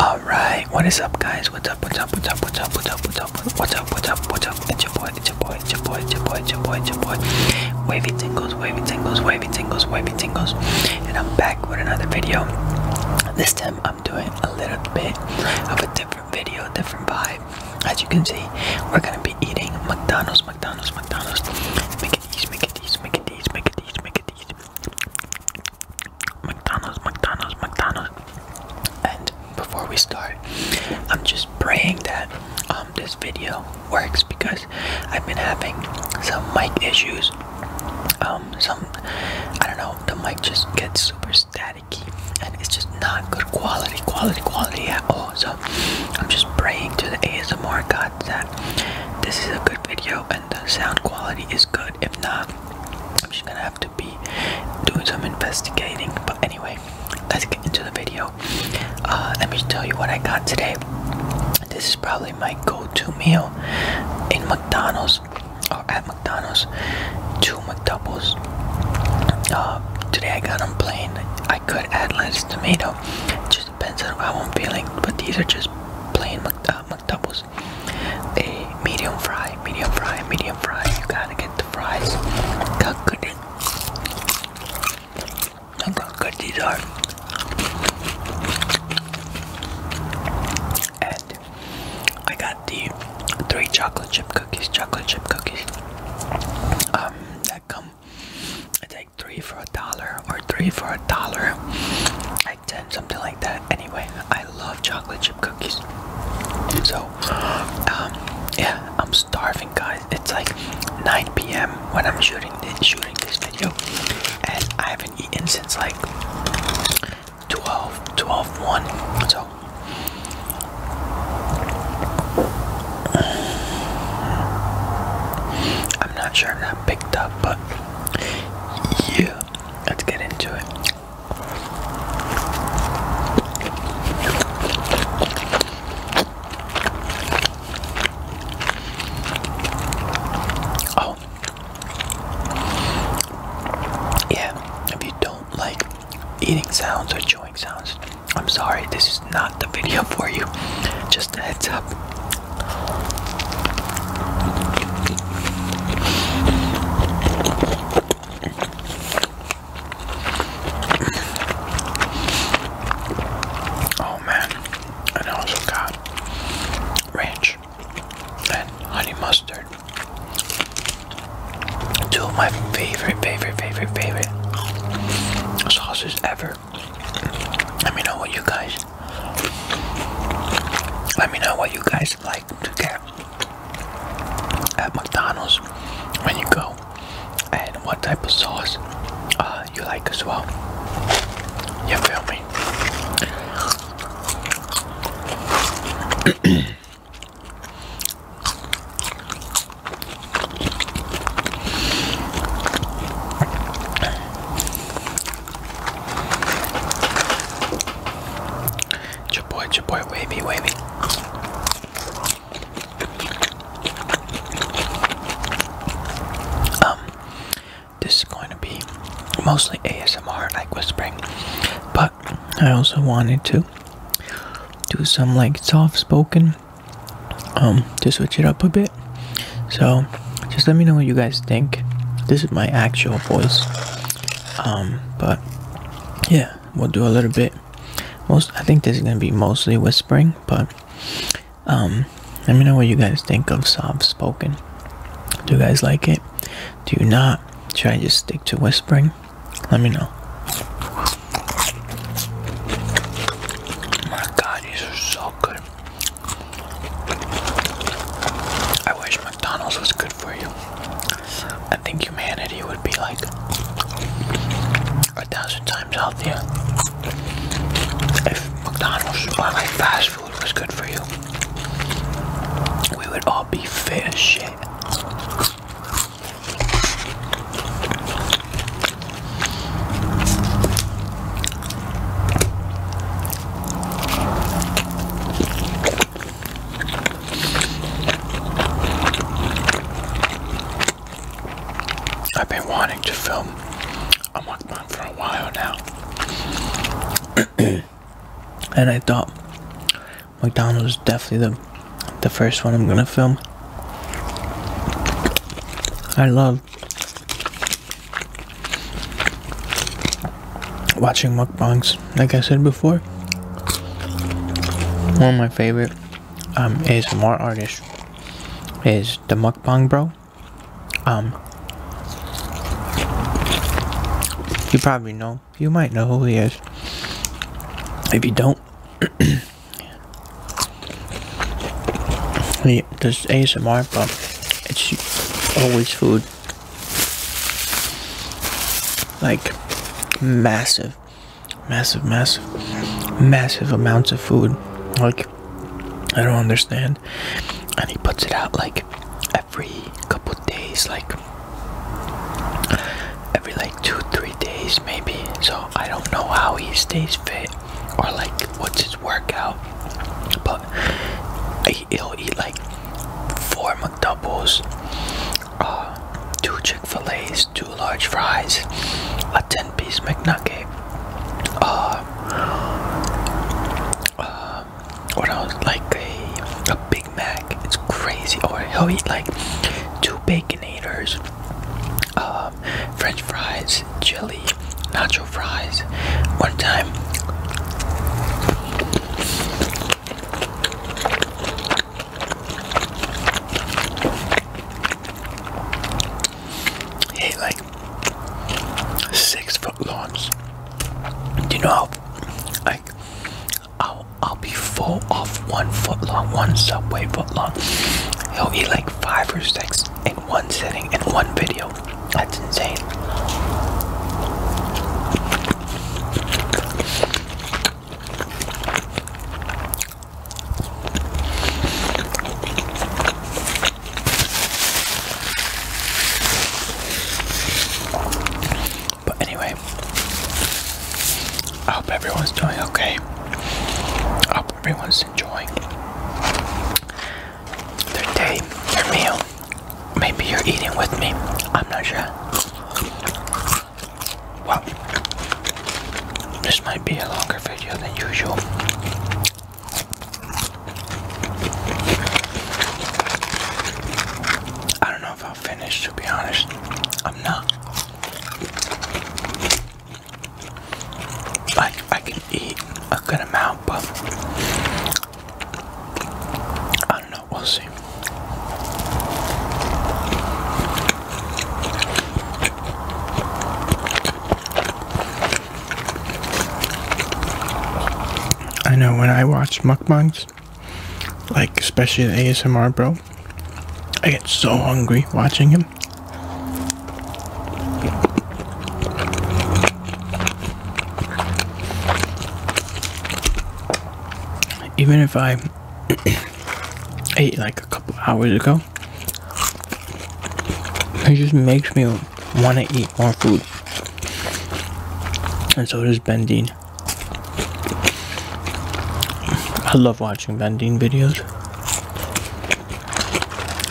Alright, what is up guys? What's up, what's up, what's up, what's up, what's up, what's up, what's up, what's up, what's up? It's your boy, it's your boy, it's your boy, it's your boy, it's your boy, it's your boy. Wavy tingles, wavy tingles, wavy tingles, wavy tingles. And I'm back with another video. This time I'm doing a little bit of a different video, different vibe. As you can see, we're gonna be eating McDonald's, McDonald's, McDonald's. Make it easy, make it easy, make it easy, make it easy, make it easy, McDonald's, McDonald's, McDonald's. And before we start, I'm just praying that um, this video works because I've been having some mic issues. Um, some, I don't know, the mic just gets super staticky and it's just not good quality, quality, quality at all. So I'm just praying to the ASMR gods this is a good video and the sound quality is good. If not, I'm just gonna have to be doing some investigating. But anyway, let's get into the video. Uh, let me tell you what I got today. This is probably my go-to meal in McDonald's or at McDonald's. Two McDoubles. Uh, today I got them plain. I could add lettuce, tomato. It just depends on how I'm feeling. But these are just plain Mc, uh, uh, McDoubles. A eh, medium fry, medium fry, medium fry. You gotta get the fries. Look how good it. Look how good these are. And I got the three chocolate chip cookies, chocolate chip cookies. Um, that come like three for a dollar or three for a dollar, like ten, something like that. Anyway, I love chocolate chip cookies. So, um, yeah, I'm starving, guys. It's like 9 p.m. when I'm shooting this, video, and I haven't eaten since like 12, 12, 1. So. I'm not sure if that picked up, but yeah, let's get into it. Oh, yeah, if you don't like eating sounds or chewing sounds, I'm sorry, this is not the video for you. Just a heads up. Oh man, I also got ranch and honey mustard. Two of my favorite, favorite, favorite, favorite sauces ever. Let me know what you guys. Let me know what you guys like to get at McDonald's when you go, and what type of sauce uh, you like as well. You feel me? your boy, your boy, wavy, wavy. Um, this is going to be mostly ASMR, like whispering, but I also wanted to do some like soft spoken um, to switch it up a bit. So, just let me know what you guys think. This is my actual voice. Um, but yeah, we'll do a little bit. Most, I think this is gonna be mostly whispering, but um, let me know what you guys think of soft spoken. Do you guys like it? Do you not? Should I just stick to whispering? Let me know. My God, these are so good. I wish McDonald's was good for you. I think humanity would be like a thousand times healthier if McDonald's or like fast food was good for you. We would all be fit as shit. I've been wanting to film a mukbang for a while now. and I thought McDonald's is definitely the the first one I'm gonna film. I love watching mukbangs, like I said before. One of my favorite um, more artist is the mukbang bro. Um, you probably know, you might know who he is. If you don't, Yeah, there's ASMR, but it's always food. Like, massive, massive, massive, massive amounts of food. Like, I don't understand. And he puts it out like every couple days, like every like two, three days maybe. So I don't know how he stays fit or like what's his workout, but he'll eat like four McDoubles, uh, two Chick Fil A's, two large fries, a ten-piece McNugget. Uh, uh, what else? Like a a Big Mac. It's crazy. Or he'll eat like two bacon baconators, uh, French fries, chili, nacho fries. One time, he like six foot longs. Do you know how like I'll I'll be full off one foot long, one subway foot long. He'll eat like five or six in one sitting in one video. That's insane. But anyway, I hope everyone's doing okay. I hope everyone's enjoying their day, their meal. Maybe you're eating with me. I'm not sure. Well, this might be a longer video than usual. I don't know if finished, to be honest. I'm not. Like, I can eat a good amount, but I don't know, we'll see. I know when I watch mukbangs, like, especially the ASMR, bro. I get so hungry watching him. Even if I ate like a couple hours ago, it just makes me want to eat more food. And so does Bendine. I love watching vending videos.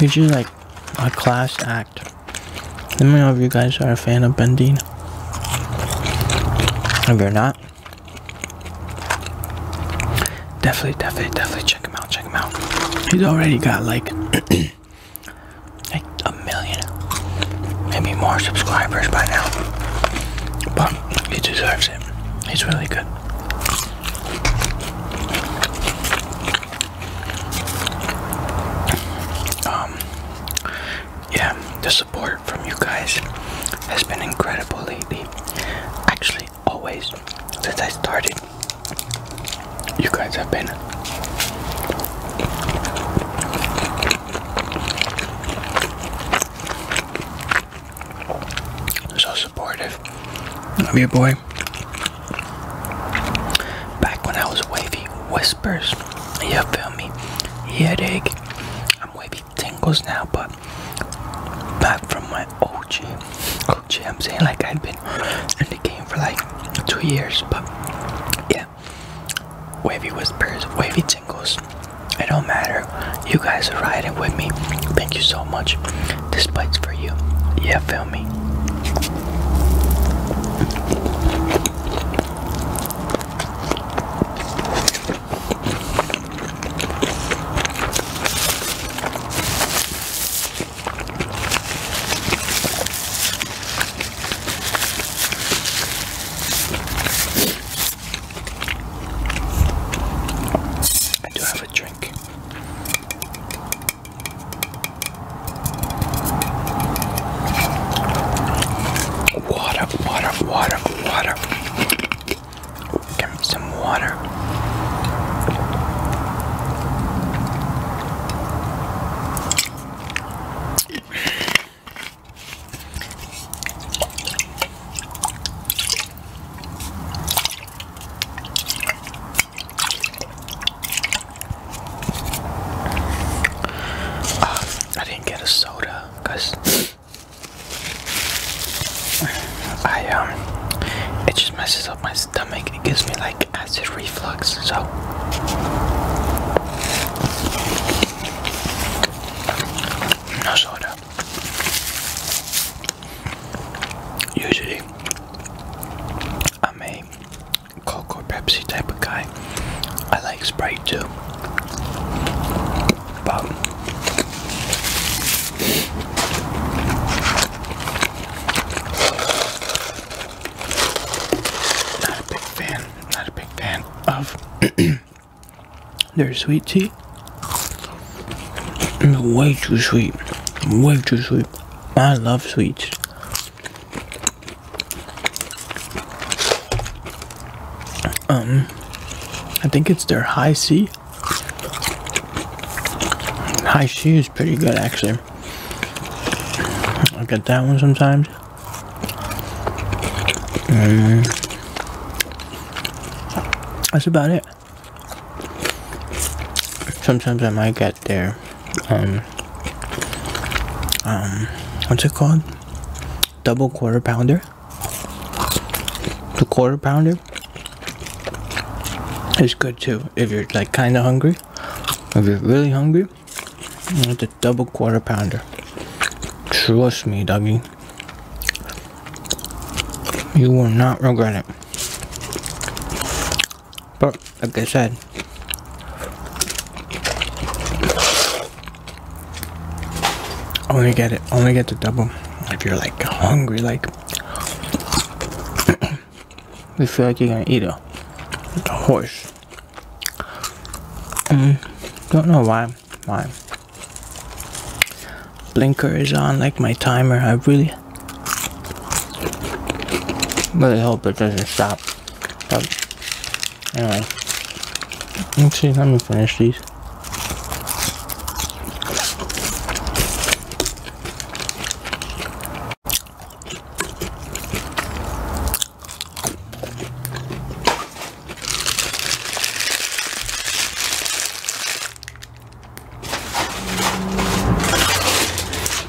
He's just like a class act. Let me know if you guys are a fan of bending. If you're not, definitely, definitely, definitely check him out. Check him out. He's already got like like million, maybe more subscribers by now. But he deserves it. He's really good. Um, yeah, the support from you guys has been incredible lately. Actually, always since I started, you guys have been so supportive of your boy. Back when I was wavy, whispers. You feel me? Headache. I'm wavy tingles now, but back from my OG. OG, I'm saying like i have been in the game for like two years, but. yeah. Wavy whispers, wavy tingles. It don't matter. You guys are riding with me. Thank you so much. This bite's for you. Yeah, feel me. I do have a drink. Water, water, water, water. Give me some water. I didn't get a soda because I um it just messes up my stomach. It gives me like acid reflux, so no soda. Usually, I'm a Coke or Pepsi type of guy. I like Sprite too, but not a big fan. Not a big fan of their sweet tea. Way too sweet. Way too sweet. I love sweets. Um, I think it's their high C. High C is pretty good actually. I get that one sometimes. Mm. that's about it. Sometimes I might get there. Um, um, what's it called? Double quarter pounder. The quarter pounder is good too if you're like kind of hungry. If you're really hungry, it's a double quarter pounder. Trust me, Dougie. You will not regret it. But, like I said, only get it, only get the double if you're like hungry, like you feel like you're gonna eat a, horse. Mm, don't know why Why blinker is on, like my timer. I really, really hope it doesn't stop. But anyway, let's see. Let me finish these.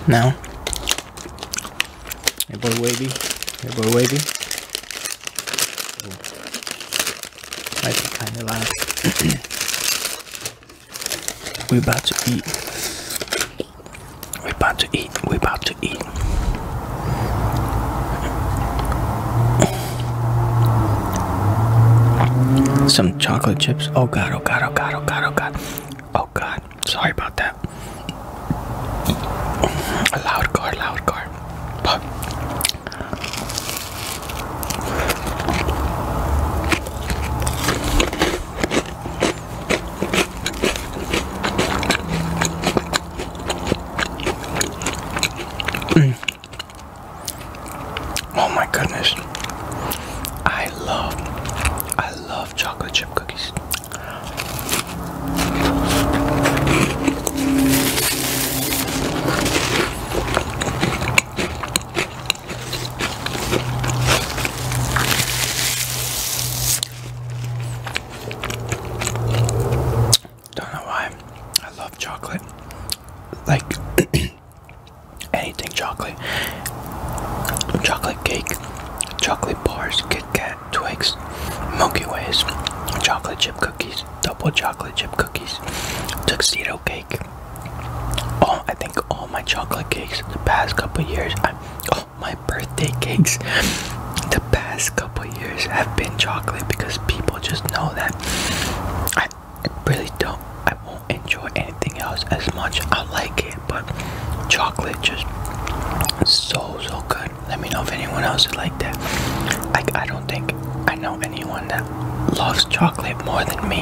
Now, hey boy wavy, hey boy wavy. Might be kind of loud. We about to eat. We about to eat. We about to eat. Some chocolate chips. Oh god, oh god, oh god, oh god, oh god. Oh god. Sorry about that. A loud car, loud car. But Oh my goodness. I love I love chocolate chip cookies. Don't know why I love chocolate. Like anything chocolate. Chocolate cake, chocolate bars, Kit Kat, Twix, Milky Ways, chocolate chip cookies, double chocolate chip cookies, tuxedo cake, oh, I think all my chocolate cakes the past couple years, I, oh, my birthday cakes the past couple years have been chocolate because people just know that I really don't, I won't enjoy anything else as much. I like it, but chocolate just so so good. Let me know if anyone else is like that. Like I don't think I know know anyone that loves chocolate more than me.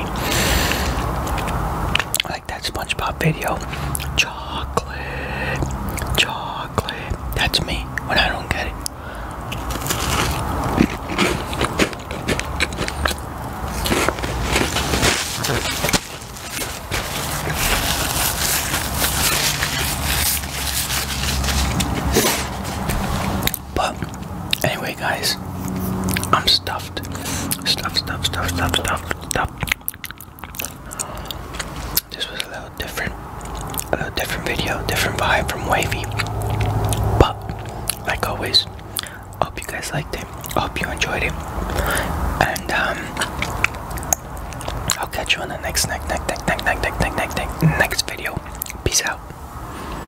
Like that SpongeBob video. Chocolate. Chocolate. That's me when I don't get it. But anyway, guys, I'm stuffed. Stuffed, stuffed, stuffed, stuffed, stuffed, stuffed. This was a little different, a little different video, different vibe from Wavy. But like always, I hope you guys liked it. I hope you enjoyed it. And um, I'll catch you on the next next next next next next next next next next video. Peace out.